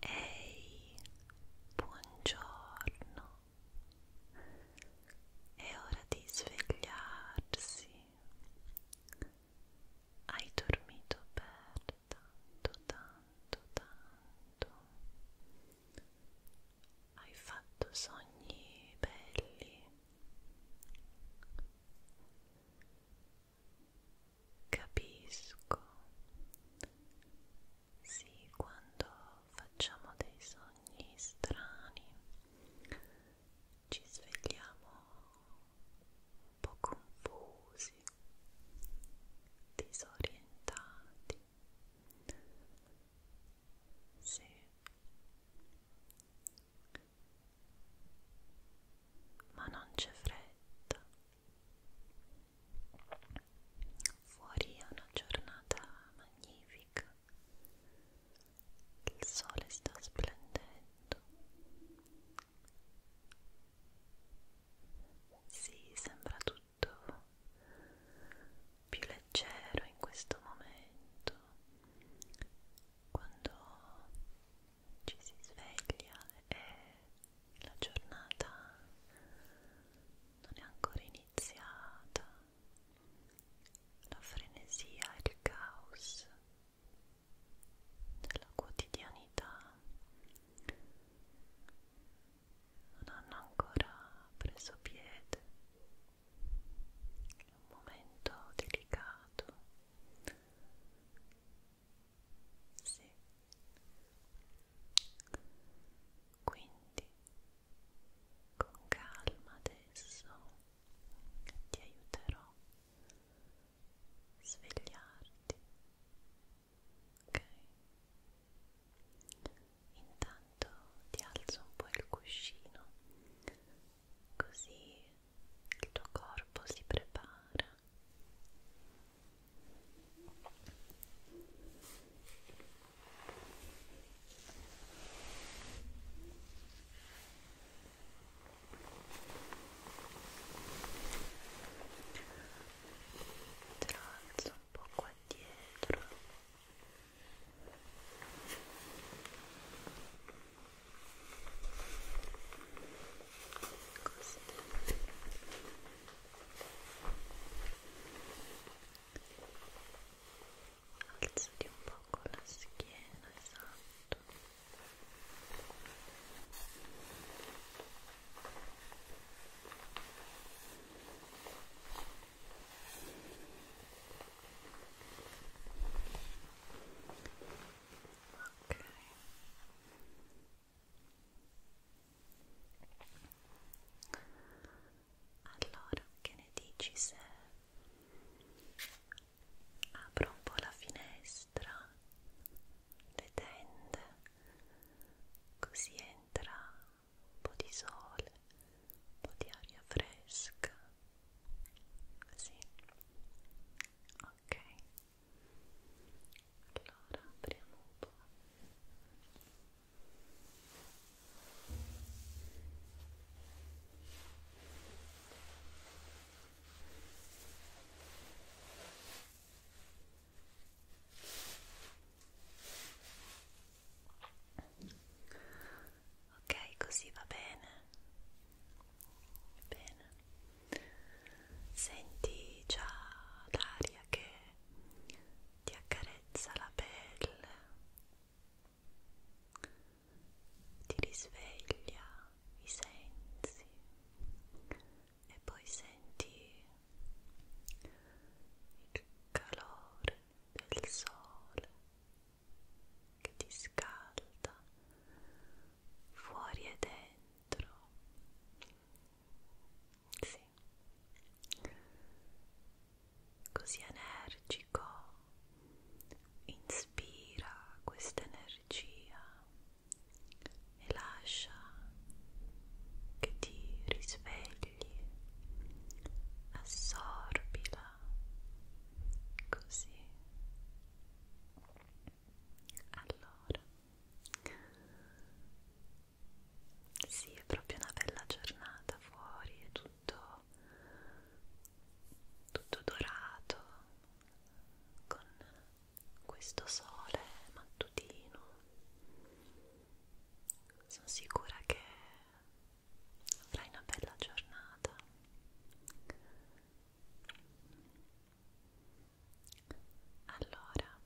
Ehi, buongiorno. È ora di svegliarsi. Hai dormito per tanto, tanto, tanto. Hai fatto sogni belli. Capisco. Sì, quando facciamo dei sogni strani ci svegliamo un po' confusi, disorientati. Sì. Ma non c'è fretta. Fuori è una giornata magnifica, il sole sta splendendo, sì, sembra tutto più leggero in questo momento quando ci si sveglia e la giornata non è ancora iniziata, la frenesia e il caos della quotidianità non hanno ancora preso piede, è un momento delicato sì. Quindi, con calma adesso ti aiuterò a svegliarti. Ok? Intanto ti alzo un po' il cuscino, così il tuo corpo si prepara Tralzo un po' qua dietro. Ecco Alzati un poco la schiena, esatto. Ok. Allora, che ne dici se apro un po' la finestra, le tende, così entra un po' di sole, un po' di aria fresca? Sì, ok allora apriamo un po' ok così va bene bene senti già l'aria che ti accarezza la pelle, ti risveglia i sensi e poi senti il calore del sole che ti scalda fuori e dentro sì. Così energico, inspira questa energia e lascia che ti risvegli, assorbila così allora, sì, è proprio una bella giornata fuori, è tutto, tutto dorato con questo sole mattutino. Sono sicura che avrai una bella giornata allora,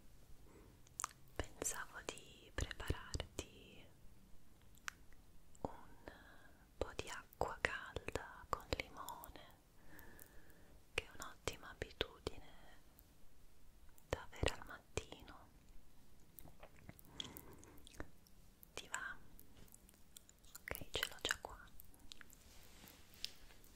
pensavo di prepararti un po' di acqua calda con limone, che è un'ottima abitudine da avere al mattino. Ti va? Ok, ce l'ho già qua.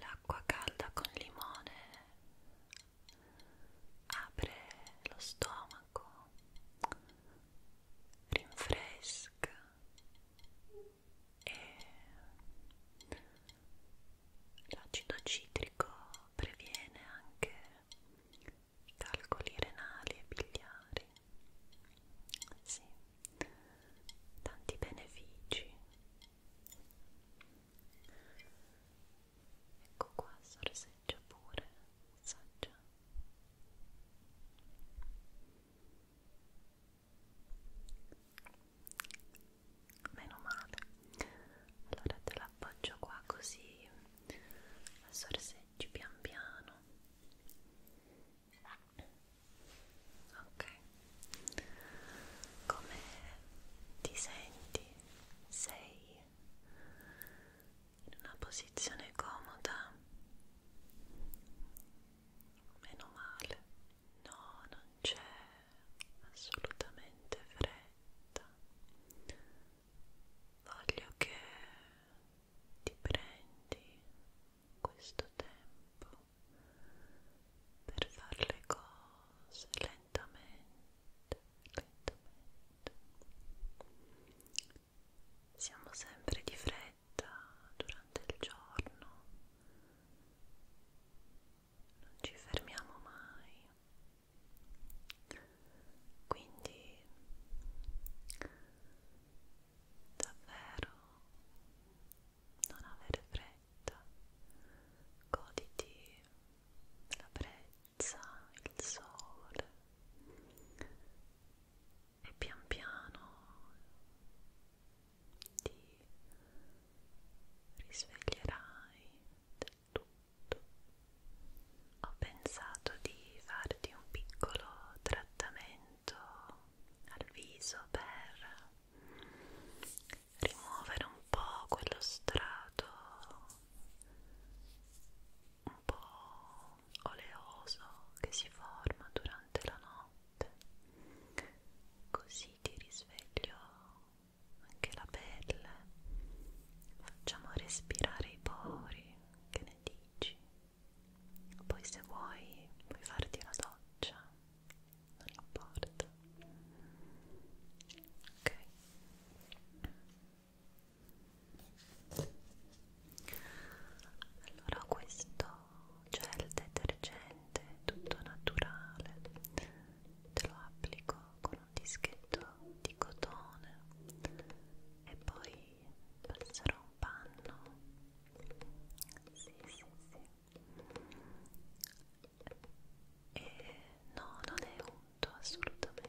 L'acqua calda con limone apre lo stomaco, rinfresca e L'acido citrico previene anche calcoli renali e biliari. Sì, tanti benefici. Ecco qua, sorseggia pure, assaggia meno male allora te l'appoggio qua così la sorseggi pian piano ok come ti senti? sei in una posizione comoda? meno male no non c'è assolutamente fredda voglio che ti prendi questo tempo per fare le cose lentamente lentamente siamo sempre di fretta durante il giorno non ci fermiamo mai quindi davvero non avere fretta goditi la brezza il sole e pian piano ti risveglierai del tutto. Ho pensato di farti un piccolo trattamento al viso per rimuovere un po' quello strato un po' oleoso che si forma durante la notte così ti risveglio anche la pelle, facciamo respirare i pori, che ne dici? Poi se vuoi puoi farti una doccia, non importa. Ok. Allora questo gel detergente tutto naturale te lo applico con un dischetto di cotone e poi passerò un panno sì sì sì e no non è unto assolutamente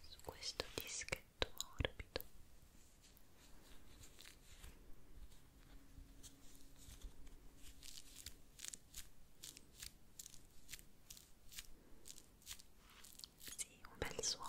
su questo dischetto morbido sì, un bel suono.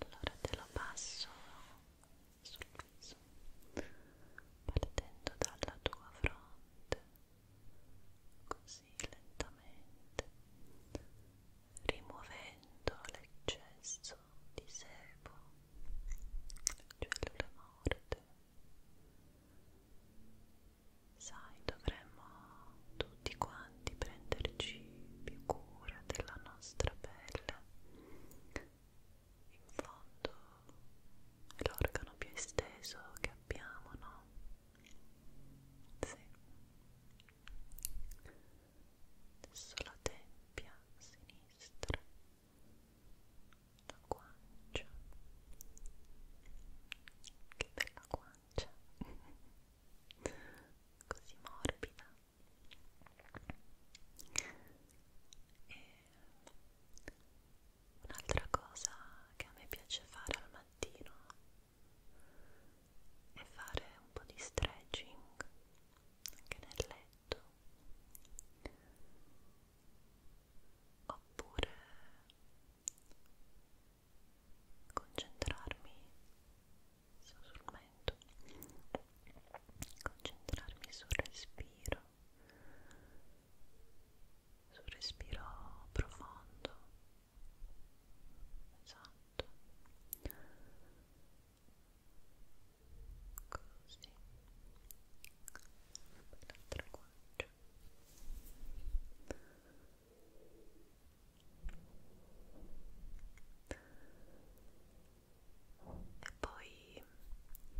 allora te lo passo sul viso partendo dalla tua fronte così lentamente rimuovendo l'eccesso di sebo cellule morte sai dovremmo tutti quanti di prenderci più cura della nostra pelle. In fondo è l'organo più esteso che abbiamo, no? Sì. Adesso la tempia sinistra, la guancia. Che bella guancia! Così morbida. Un'altra cosa che a me piace fare al mattino è fare un po' di stretching anche nel letto oppure concentrarmi sul mento concentrarmi sul respiro sul respiro profondo esatto così l'altra guancia e poi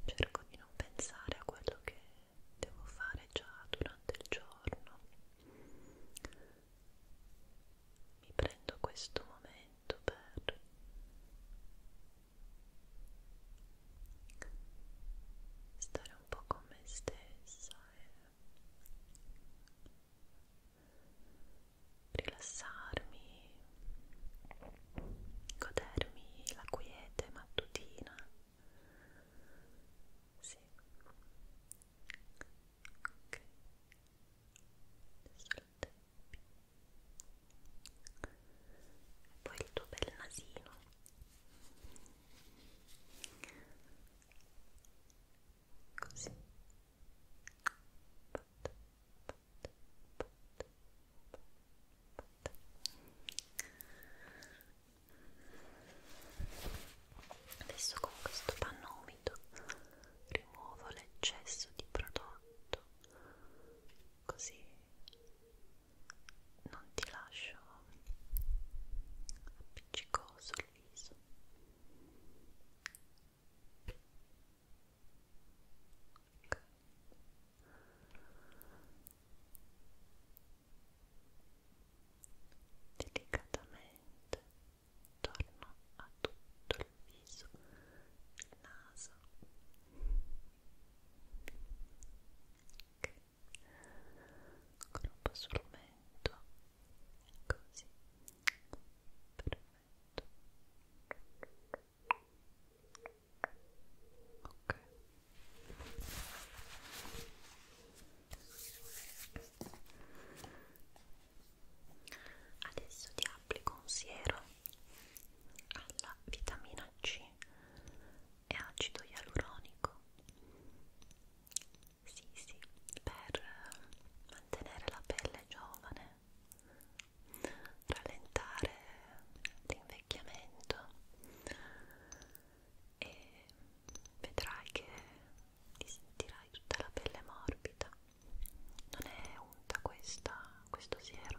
cerco di non pensare a quello che devo fare già durante il giorno mi prendo questo momento per stare un po' con me stessa e rilassarmi, godermi la quiete mattutina. Sì. Ok. Adesso il tempi. E poi il tuo bel nasino. Così. Fatto. Fatto. Adesso con questo panno umido rimuovo l'eccesso di prodotto così non ti lascio appiccicoso il viso delicatamente torno a tutto il viso, il naso okay. con un po' sul mento così perfetto Perfetto. Ok. Adesso ti applico un siero alla vitamina C e acido ialuronico. Sì, sì, per mantenere la pelle giovane rallentare l'invecchiamento e vedrai che ti sentirai tutta la pelle morbida non è unta questa, questo siero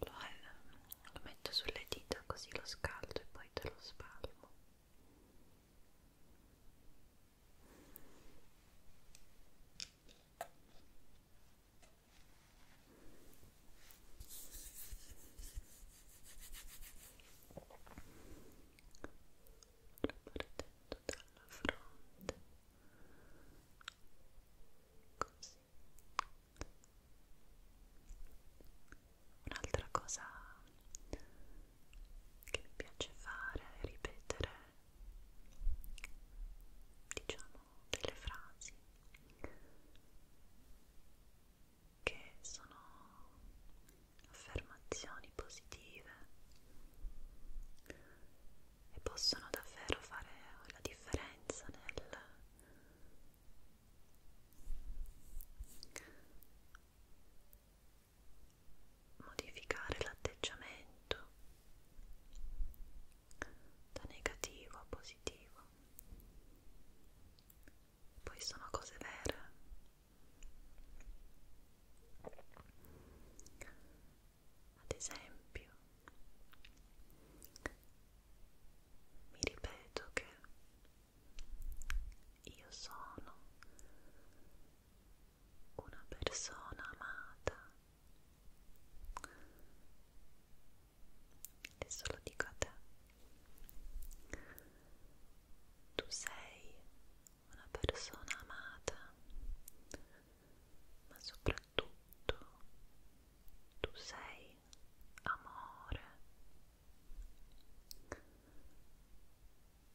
Lo, eh, lo metto sulle dita così lo scaldo e poi te lo spalmo partendo dalla fronte così un'altra cosa che mi piace fare è ripetere diciamo delle frasi che sono affermazioni positive e possono davvero fare la differenza nel modificare l'atteggiamento da negativo a positivo poi sono cose vere ad esempio, mi ripeto che io sono una persona amata adesso lo dico a te tu sei una persona amata, ma soprattutto tu sei amore,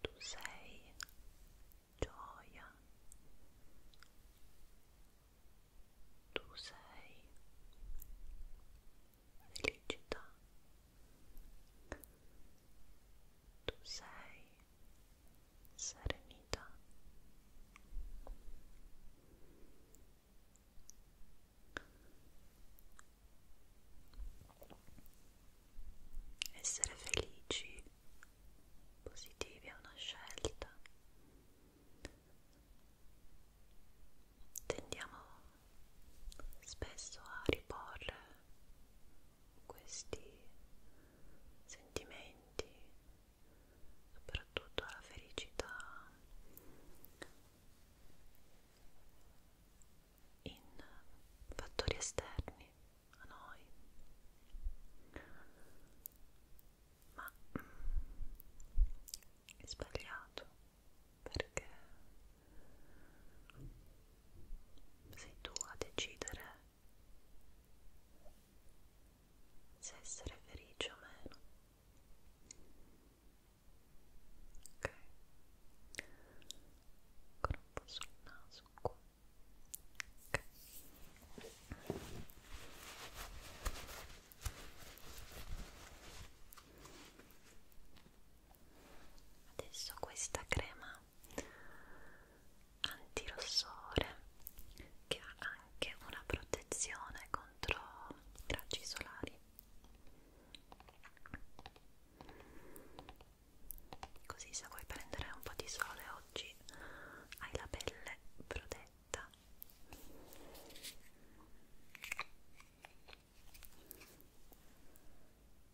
tu sei gioia, tu sei felicità. Tu sei serenità. Essere felici, positivi è una scelta. Tendiamo spesso a riporre questi sentimenti, soprattutto la felicità in fattori esterni a noi. Ma mm, è sbagliato perché sei tu a decidere se essere felice o meno. Ok. Ancora un po' sul naso qua. Ok. Ok, adesso questa crema antirossore che ha anche una protezione contro raggi solari così se vuoi prendere un po' di sole oggi hai la pelle protetta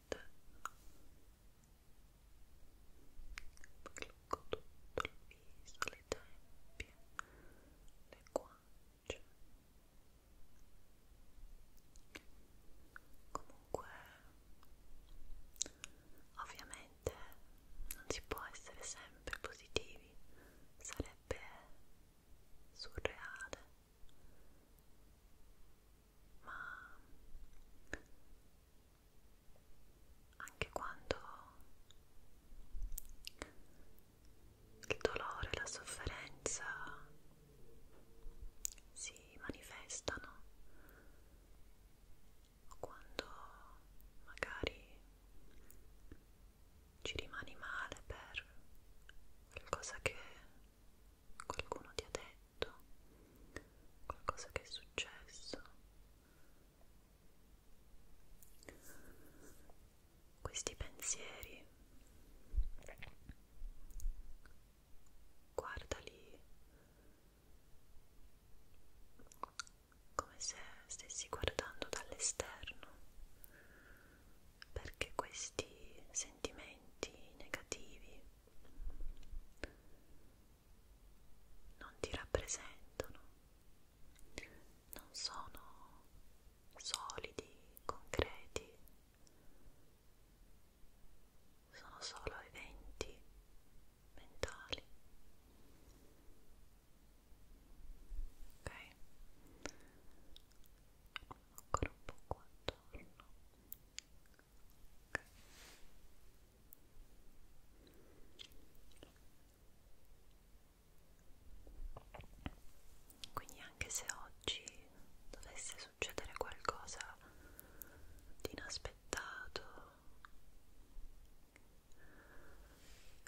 Blocco tutto il viso, le tempie, le guance. Comunque, ovviamente non si può essere sempre positivi, sarebbe surreale ma anche quando il dolore, la sofferenza si manifestano o quando magari ci rimani male per qualcosa che qualcuno ti ha detto, qualcosa che è successo. Questi pensieri, guardali come se stessi guardando dall'esterno, perché questi sentimenti negativi non ti rappresentano, non sono solidi, concreti, sono solo eventi mentali. Ok? Ancora un po' qua attorno quindi anche se oggi dovesse succedere qualcosa di inaspettato,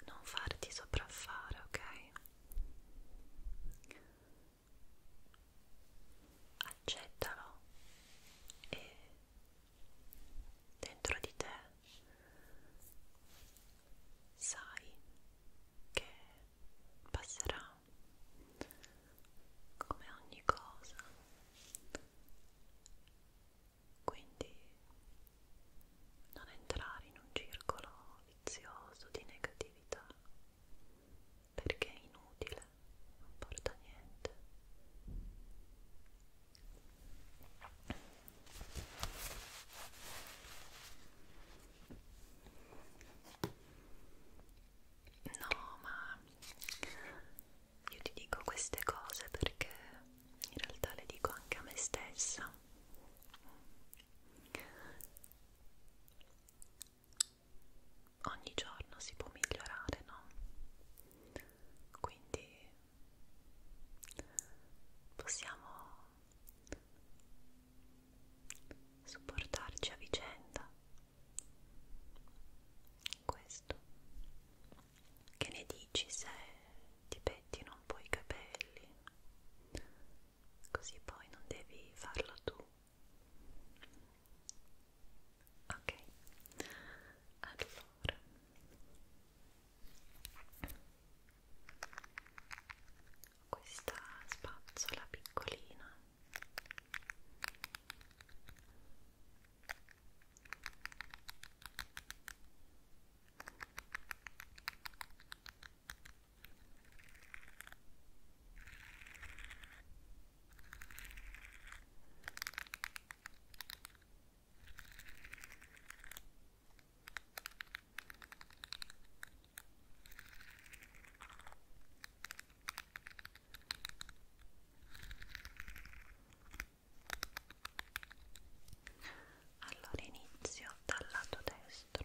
non farti sopraffare, ok? accettalo e dentro di te sai che passerà come ogni cosa quindi non entrare in un circolo vizioso di negatività perché è inutile, non porta niente. No, ma io ti dico queste cose perché in realtà le dico anche a me stessa ogni giorno si può migliorare, no? Quindi possiamo supportarci a vicenda. Questo. Che ne dici se ti pettino un po' i capelli? Così poi non devi farlo tu ok allora questa spazzola piccolina ok allora inizio dal lato destro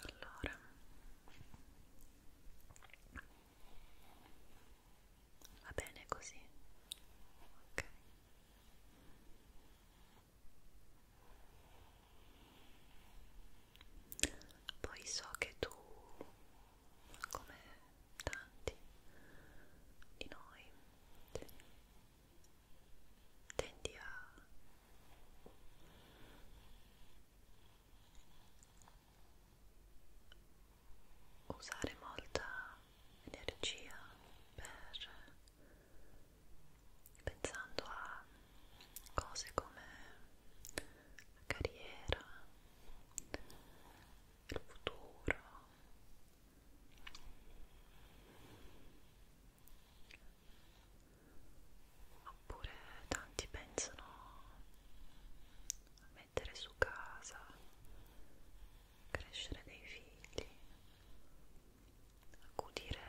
allora va bene così ok poi so che tu come tanti di noi tendi a usare molta energia per pensando a cose come la carriera, il futuro oppure tanti pensano a mettere su casa, crescere dei figli, accudire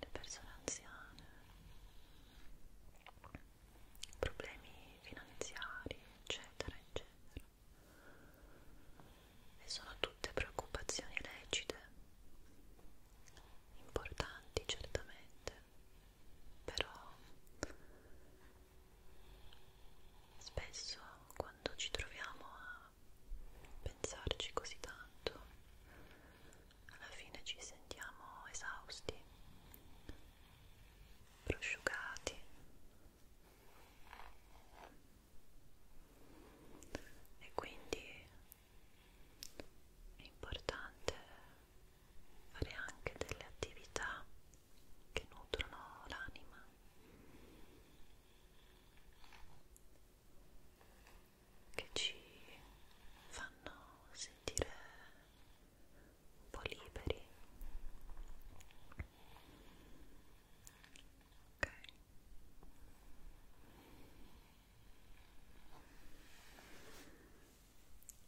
le persone anziane, problemi finanziari, eccetera, eccetera. E sono tutte preoccupazioni lecite, importanti certamente però spesso quando ci troviamo a pensarci così tanto alla fine ci sentiamo esausti prosciugati e quindi è importante fare anche delle attività che nutrono l'anima. Che ci fanno sentire un po' liberi. Ok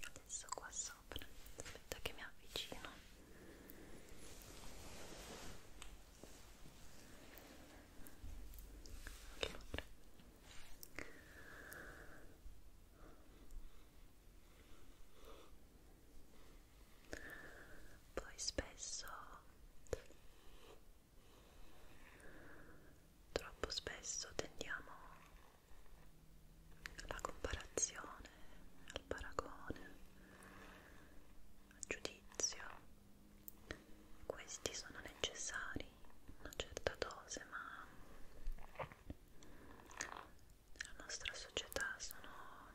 adesso qua sopra aspetta che mi avvicino allora. poi spesso troppo spesso tendiamo la comparazione, al paragone, al giudizio, questi sono necessari in una certa dose, ma nella nostra società sono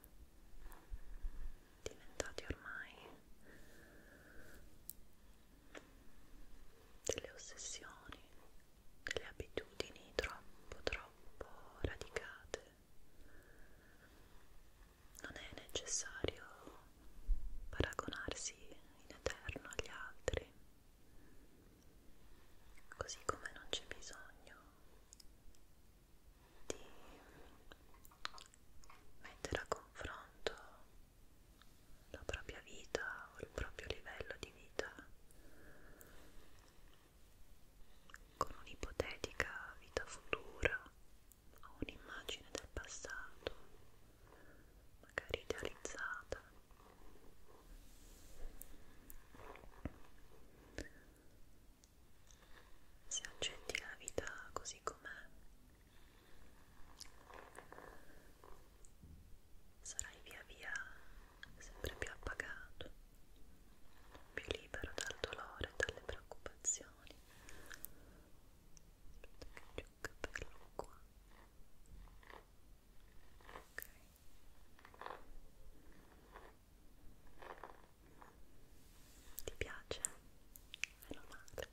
diventati ormai delle ossessioni delle abitudini troppo troppo radicate non è necessario paragonarsi in eterno agli altri così come non c'è bisogno di mettere a confronto la propria vita o il proprio livello di vita con un'ipotetica vita futura o un'immagine del passato magari idealizzata se accetti la vita così com'è sarai via via sempre più appagato, più libero dal dolore e dalle preoccupazioni. Aspetta che c'è un capello qua. Ok. Ti piace? Meno male.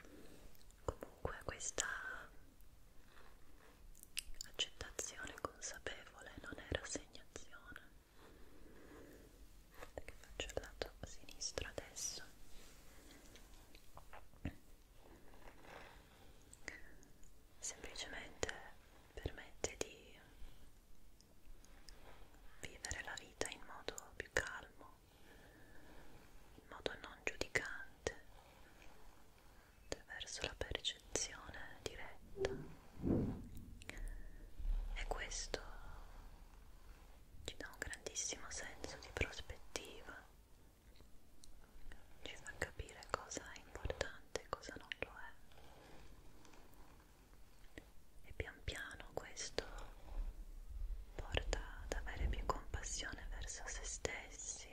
Comunque questa accettazione consapevole non è rassegnazione. Perché faccio il lato sinistro adesso? semplicemente permette di vivere la vita in modo più calmo, in modo non giudicante, attraverso la percezione diretta e questo ci dà un grandissimo senso di prospettiva ci fa capire cosa è importante e cosa non lo è e pian piano questo porta ad avere più compassione verso se stessi,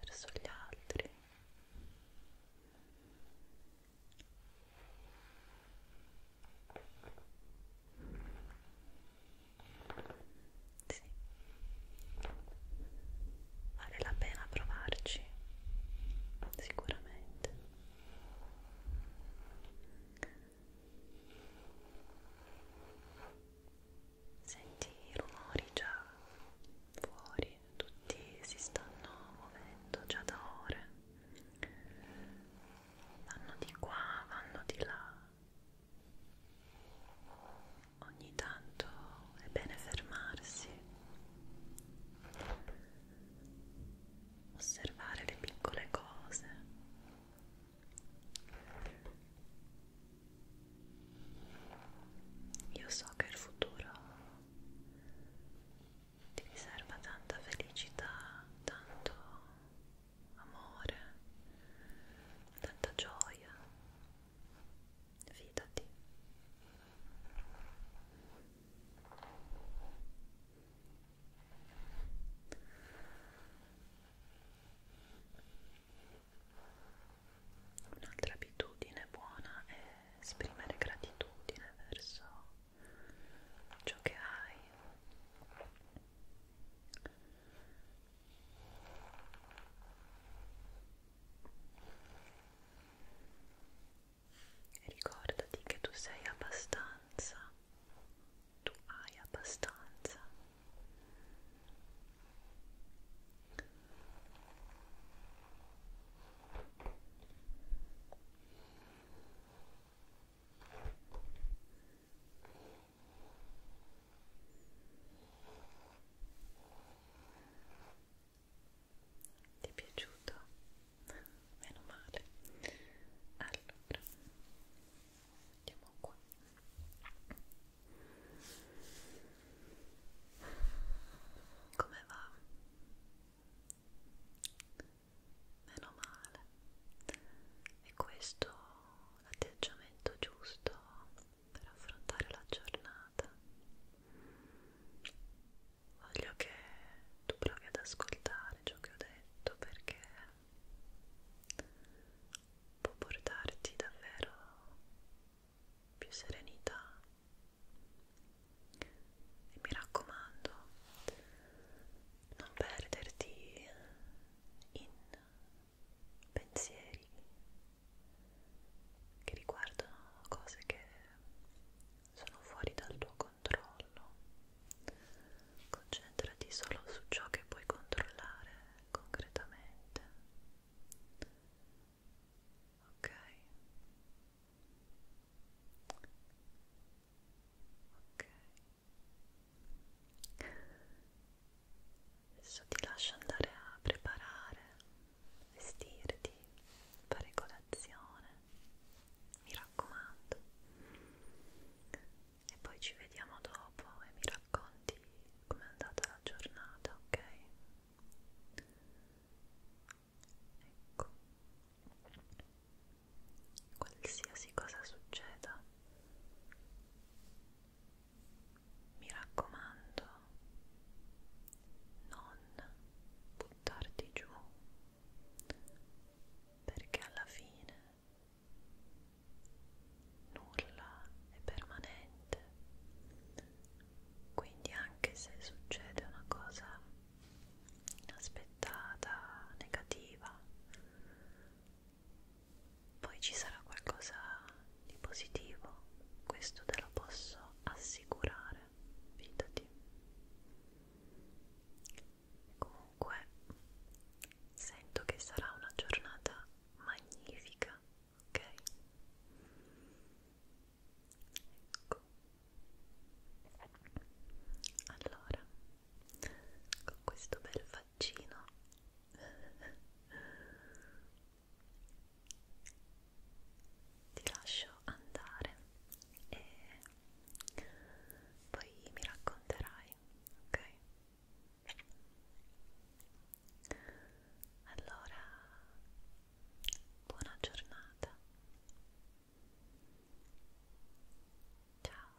verso gli altri. Sì. Vale la pena provarci, sicuramente. Senti i rumori già fuori, tutti si stanno muovendo già da ore. Vanno di qua, vanno di là. Ogni tanto è bene fermarsi, osservare le piccole cose. Io so che il futuro ti riserva tanta felicità, tanto amore, tanta gioia fidati un'altra abitudine buona è esprimere gratitudine verso ciò che hai Ricordati che tu sei abbastanza, tu hai abbastanza. Ora ti è piaciuto? Meno male. Allora, andiamo qua. Come va? Meno male. E questo l'atteggiamento giusto per affrontare la giornata. Voglio che tu provi ad ascoltare ciò che ho detto perché può portarti davvero più serenità. E mi raccomando, non perderti in pensieri che riguardano cose che sono fuori dal tuo controllo. Concentrati solo su ciò che puoi controllare concretamente. Ok? Ok adesso ti lascio andare a preparare, vestirti, fare colazione, mi raccomando, e poi ci vediamo dopo e mi racconti com'è andata la giornata, ok? Ecco, qualsiasi cosa succeda mi raccomando, non buttarti giù, perché alla fine nulla è permanente, quindi anche se succede una cosa inaspettata, negativa, poi ci sarà qualcosa di positivo, questo te lo posso assicurare, fidati. Comunque, sento che sarà una giornata magnifica, ok? Ecco. Allora, con questo bel faccino ti lascio andare e poi mi racconterai, ok? Allora, buona giornata. Ciao.